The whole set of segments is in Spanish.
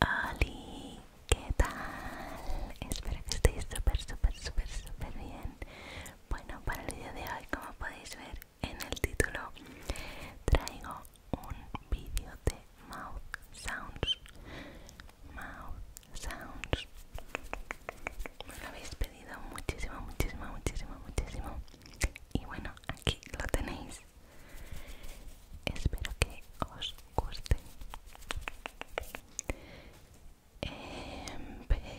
¡Hola! ¿qué tal? Espero que estéis súper, súper, súper, súper bien. Bueno, para el día de hoy, como podéis ver en el título, traigo un vídeo de mouth sounds. Mouth sounds. Me lo habéis pedido muchísimo, muchísimo, muchísimo, muchísimo y bueno aquí lo tenéis espero que os guste empezamos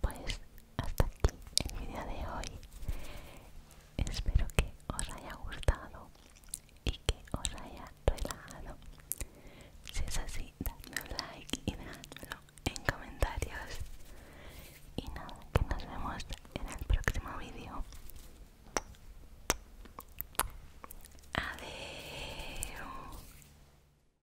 pues hasta aquí el vídeo de hoy espero que os haya gustado y que os haya relajado si es así dadme un like y dejadlo en comentarios y nada que nos vemos en el próximo vídeo adiós